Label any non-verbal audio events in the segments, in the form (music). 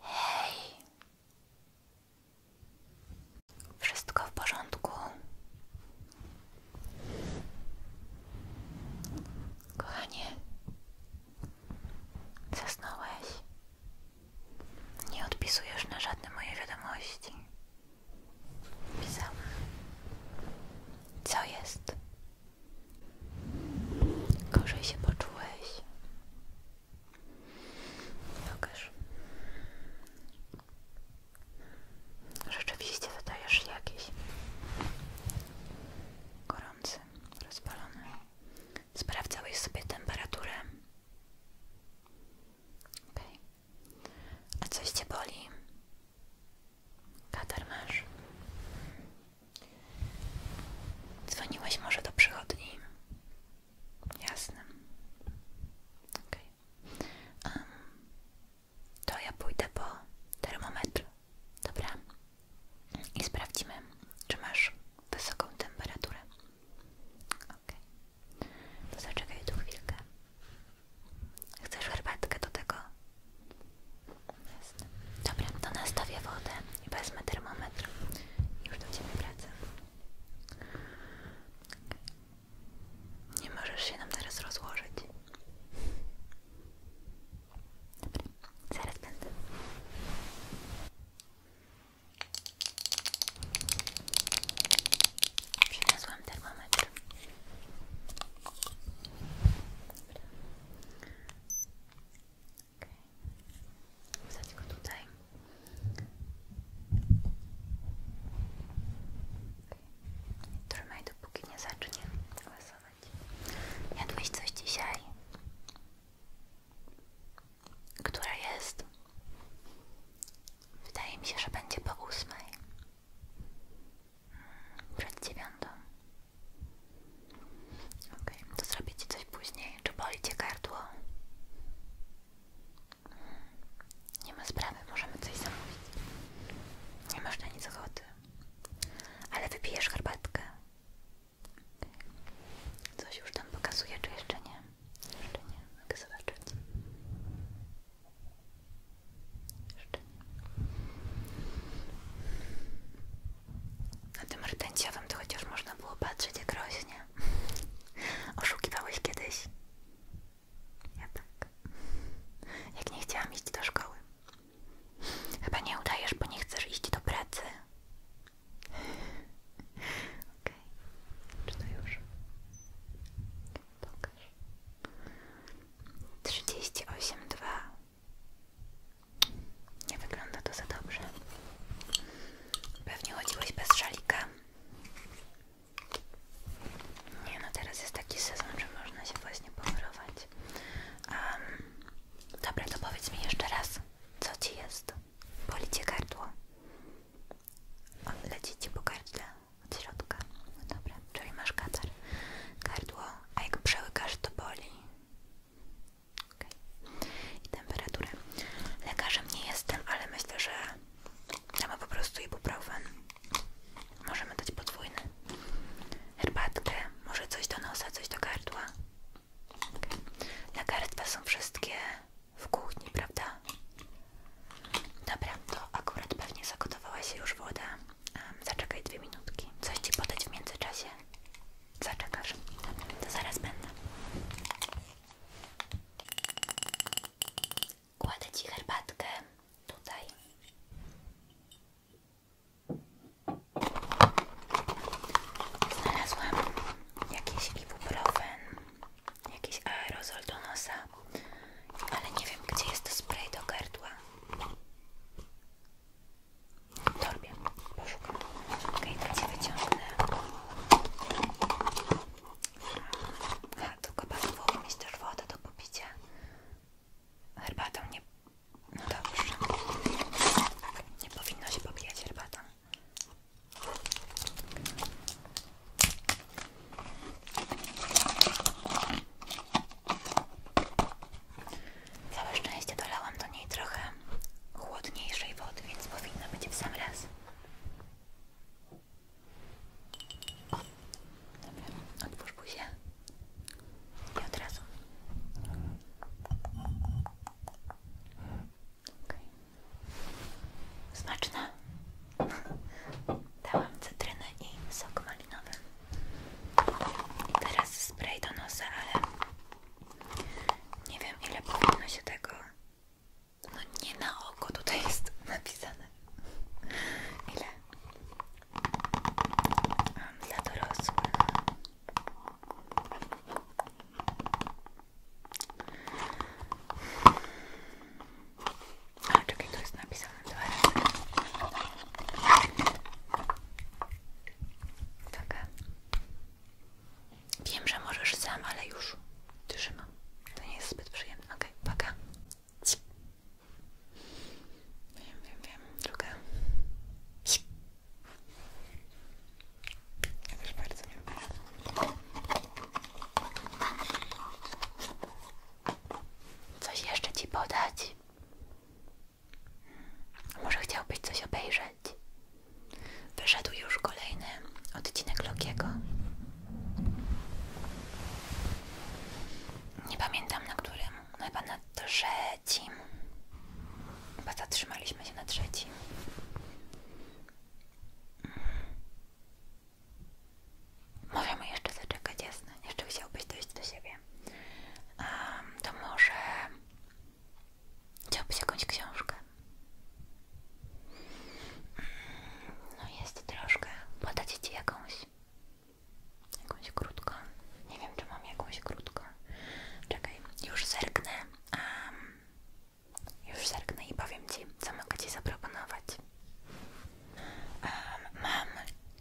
Hej! Wszystko w porządku? Kochanie, zasnąłeś? Nie odpisujesz na żadne moje wiadomości. Pisałam. Co jest? Gorzej się poczułeś. Pokaż. Rzeczywiście wydajesz się jakiś gorący, rozpalony. Sprawdzałeś sobie temperaturę. Okej. A coś cię boli? Katar masz? Dzwoniłeś może do przychodni? Jasne. Okay. to ja pójdę po termometr. Dobra. I sprawdzimy, czy masz wysoką temperaturę. Ok. To zaczekaj tu chwilkę. Chcesz herbatkę do tego? Jasne. Dobra, to nastawię wodę. I wezmę termometr. Już do Ciebie wracam. Nie możesz się nam teraz rozłożyć. Dobra, zaraz będę. Przyniosłam termometr. Dobra. Okay. to go tutaj. Okay. Trzymaj, dopóki nie zacznie klasować. Jadłeś coś dzisiaj? Która jest? Wydaje mi się, że będzie po ósmej. Hmm, przed dziewiątą. Ok, to zrobię Ci coś później. Czy boli Cię gardło? Nie ma sprawy, możemy coś zamówić. Nie masz na nic ochoty. Ale wypijesz herbatkę. Coś już tam pokazuje, czy jeszcze nie? Jeszcze nie, mogę zobaczyć. Jeszcze nie. Na tym rtęciowym to chociaż można było patrzeć jak rośnie. (laughs) Oszukiwałeś kiedyś? Ja tak. Jak nie chciałam iść do szkoły. Chyba nie udajesz, bo nie chcesz iść do pracy. Okej. Czy to już? Pokaż. 38,2. Nie wygląda to za dobrze. Pewnie chodziłeś bez szalika. Nie no, teraz jest taki sezon, że można się właśnie pomyrować. dobra, to powiedz mi jeszcze raz, co ci jest? Boli cię gardło? leci ci po gardle od środka. No dobra, czyli masz katar. Gardło, a jak przełykasz, to boli. I temperaturę. Lekarzem nie jestem, ale myślę, że damy po prostu ibuprofen. Możemy dać podwójny. Herbatkę, może coś do nosa, coś do gardła. Okay. Lekarstwa są wszystkie w kuchni, prawda? Dobra, to akurat pewnie zagotowała się już woda. zaczekaj dwie minutki. Coś ci podać w międzyczasie? Zaczekasz? to zaraz będę. Kładę Ci herbatkę tutaj. Znalazłam jakiś ibuprofen, jakiś aerozol do nosa, ale nie wiem gdzie jest to spray do gardła. W torbie. Poszukam. Okej, okay, to Cię wyciągnę. A, to chyba tu wodę do popicia. Herbatą nie... No dobrze. Nie powinno się popijać herbatą. Całe szczęście dolałam do niej trochę chłodniejszej wody, więc powinno być w sam raz. otwórz buzię i od razu. Okay. Smaczna. Dałam cytrynę i sok malinowy. teraz spray do nosa, ale nie wiem ile powinno się tego no nie na oko, tutaj jest napisane. Ile? Mam dla dorosłych. A czekaj, to jest napisane dwa razy. Wiem, że możesz sam, ale już trzymam. To nie jest zbyt przyjemne. Okej, okay, Wiem, wiem, wiem. Druga. Ja też bardzo nie lubię. Coś jeszcze ci podać? Hmm. Może chciałbyś coś obejrzeć? Wyszedł już kolejny odcinek Lokiego. Nie pamiętam na którym, no chyba na trzecim. Chyba zatrzymaliśmy się na trzecim. Możemy jeszcze zaczekać, jasne. Jeszcze chciałbyś dojść do siebie. to może chciałbyś jakąś książkę? No jest troszkę. Podać Ci jakąś? Jakąś krótką. Nie wiem, czy mam jakąś krótką. Czekaj, już zerknę. już zerknę i powiem Ci, co mogę Ci zaproponować. mam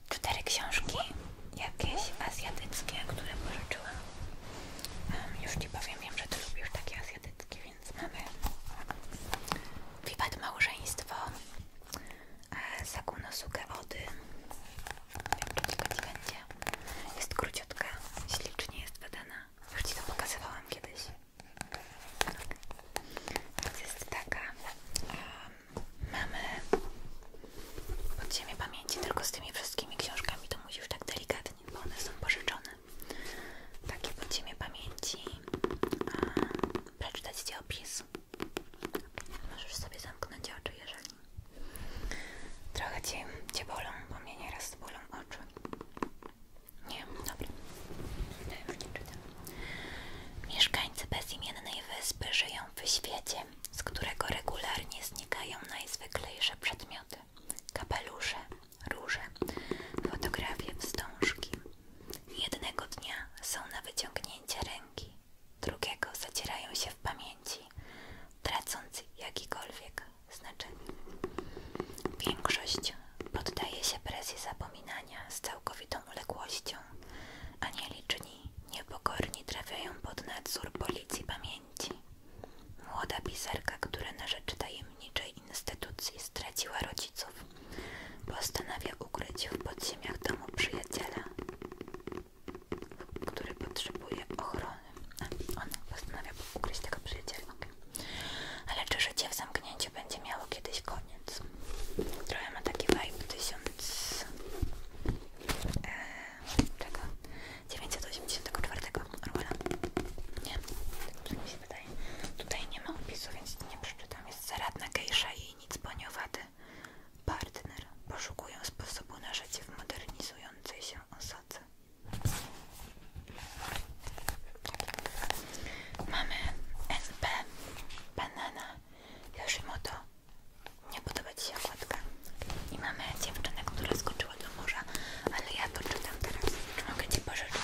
cztery książki, jakieś azjatyckie, które pożyczyłam. już Ci powiem, wiem, że Ty lubisz takie azjatyckie więc mamy wiwat małżeństwo e, Sakunosuke Ody jak to ciekawe będzie jest króciutka, ślicznie jest wydana już Ci to pokazywałam kiedyś więc jest taka um, mamy podziemie pamięci tylko z tymi wszystkimi książkami to musisz tak delikatnie, bo one są pożyczone takie podziemie pamięci. Przeczytać Ci opis. Możesz sobie zamknąć oczy, jeżeli. Trochę Cię, cię bolą, bo mnie nieraz bolą oczy. Nie, dobra. No już nie Mieszkańcy bezimiennej wyspy żyją w świecie, z którego regularnie znikają najzwyklejsze przedmioty kapelusze, róże, fotografie, wstążki. Jednego dnia są na wyciągnięcie ręki, drugiego zacierają się w pamięci, tracąc jakikolwiek znaczenie. Większość poddaje się presji zapominania z całkowitą uległością, a nieliczni niepokorni trafiają pod nadzór policji pamięci. Młoda pisarka, która na rzecz tajemniczej instytucji straciła rodziców, postanawia ukryć w podziemiach domu przyjaciela, który potrzebuje ochrony. Ona postanawia ukryć tego przyjaciela. Okay. Ale czy życie w zamknięciu będzie miało kiedyś koniec? Trochę ma taki vibe 1000... Eee, czego? 984 Orwella. Nie, tak tutaj. nie ma opisu, więc nie przeczytam. Jest zaradna gejsza i nic boniowaty. Partner. Poszukują sposobu na życie w modernizującej się osadze. Mamy NP, banana, Yoshimoto. Nie podoba Ci się okładka. I mamy dziewczynę, która skoczyła do morza, ale ja to czytam teraz. Czy mogę Ci pożyczyć?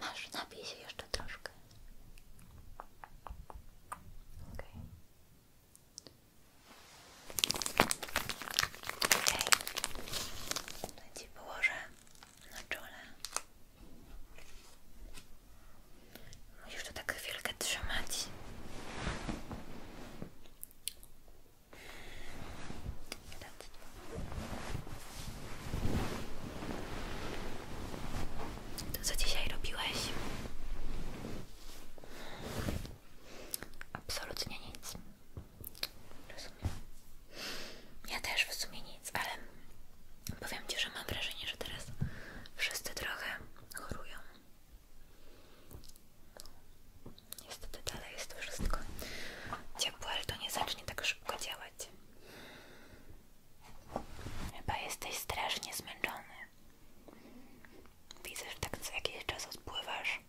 Masz, napij się jeszcze troszkę. Okej. Okay. Okej. Okay. To ci położę na czole. Musisz to tak chwilkę trzymać. Świadectwo. To co dzisiaj robiłeś? Absolutnie nic. Rozumiem. Ja też w sumie nic, ale powiem Ci, że mam wrażenie, że teraz wszyscy trochę chorują. Niestety dalej jest wszystko ciepłe, ale to nie zacznie tak szybko działać. Chyba jesteś strasznie zmęczony. Widzę, że tak co jakiś czas odpływasz.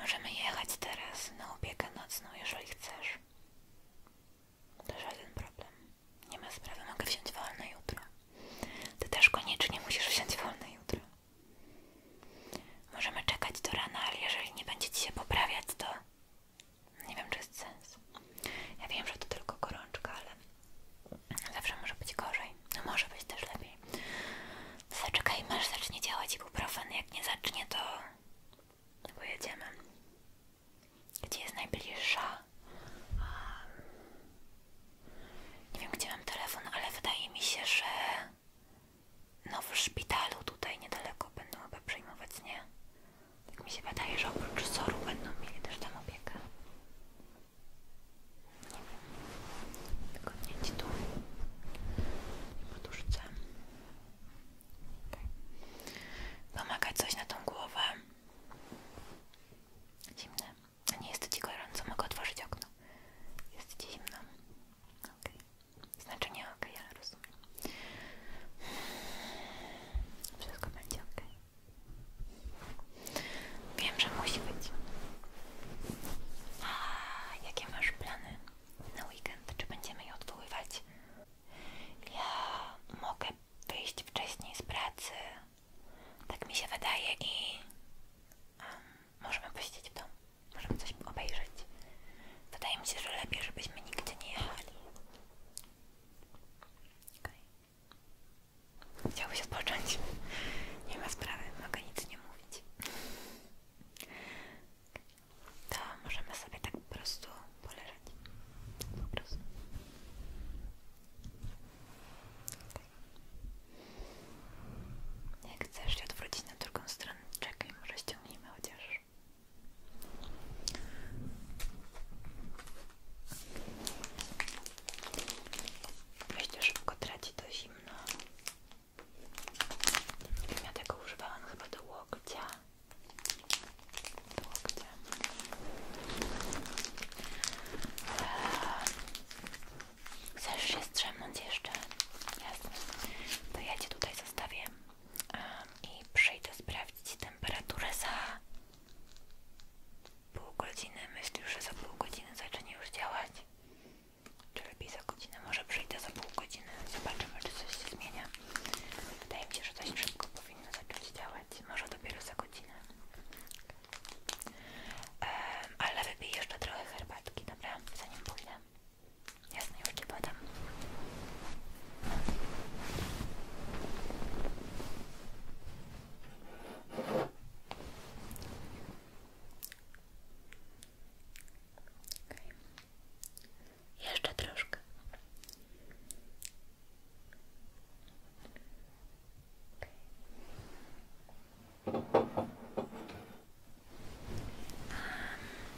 Możemy jechać teraz na opiekę nocną, jeżeli chcesz. To żaden problem. Nie ma sprawy, mogę wziąć wolne jutro. Ty też koniecznie musisz wziąć wolne jutro. Możemy czekać do rana, ale jeżeli nie będzie ci się poprawiać, to nie wiem, czy jest sens. Ja wiem, że to tylko gorączka, ale zawsze może być gorzej. No, może być też lepiej. Zaczekajmy, aż zacznie działać i ibuprofen. Jak nie zacznie, to pojedziemy. Gdzie jest najbliższa? Nie wiem, gdzie mam telefon, ale wydaje mi się, że no w szpitalu tutaj niedaleko będą chyba przejmować, nie? Tak mi się wydaje, że oprócz soru będą mieli też tam opiekę. Nie wiem. Wygodnie ci tu poduszce. Okay. Pomagać coś na tą głowę. Zimne. A nie jest ci gorąco, mogę otworzyć okno. Jest ci zimno. Ok. Znaczenie ok, ja rozumiem. Wszystko będzie ok. Wiem, że musi być. A jakie masz plany na weekend? Czy będziemy je odwoływać? Ja mogę wyjść wcześniej z pracy. Tak mi się wydaje i. Możemy posiedzieć w domu, możemy coś obejrzeć. Wydaje mi się, że lepiej, żebyśmy nigdzie nie jechali. Okay. Chciałbyś odpocząć? Nie ma sprawy, mogę nic nie mówić. To możemy sobie tak po prostu poleżeć. Po prostu. Okay. Jak chcesz się odwrócić na drugą stronę? Saturn. Czekaj, może ściągnijmy chociaż. Myślę, szybko traci to zimno. Ja tego używałam chyba do łokcia. Do łokcia. chcesz eee. się strzemnąć jeszcze. Jasne. To ja Cię tutaj zostawię i przyjdę sprawdzić temperaturę za pół godziny. Myślisz, że za pół godziny zacznie już działać? Czy lepiej za godzinę? Może przyjdę za pół godziny. Zobaczymy, czy coś się zmienia. Wydaje mi się, że dość szybko powinno zacząć działać. Może dopiero za godzinę. ale wypij jeszcze trochę herbatki, dobra? Zanim pójdę. Jasne, już Ci podam. Okay. Jeszcze troszkę.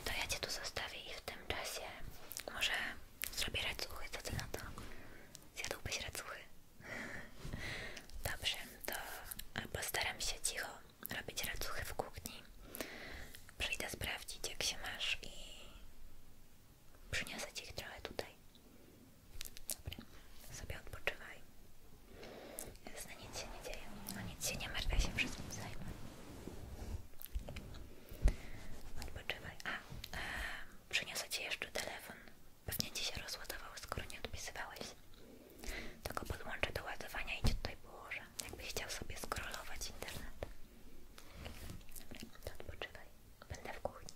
To ja Cię tu zostawię i w tym czasie może zrobię racuchy, co Ty na to? Zjadłbyś racuchy? (laughs) Dobrze, to postaram się cicho robić racuchy w kuchni. Przyjdę sprawdzić jak się masz i przyniosę Ci ich trochę tutaj. Dobra, sobie odpoczywaj. Jasne, nic się nie dzieje. No nic się nie martw, się wszystkim zajmę. Odpoczywaj. A, e, przyniosę Ci jeszcze telefon. Pewnie Ci się rozładował, skoro nie odpisywałeś. Tylko go podłączę do ładowania i Cię tutaj położę. Jakbyś chciał sobie skrolować internet. Dobra, to odpoczywaj. Będę w kuchni.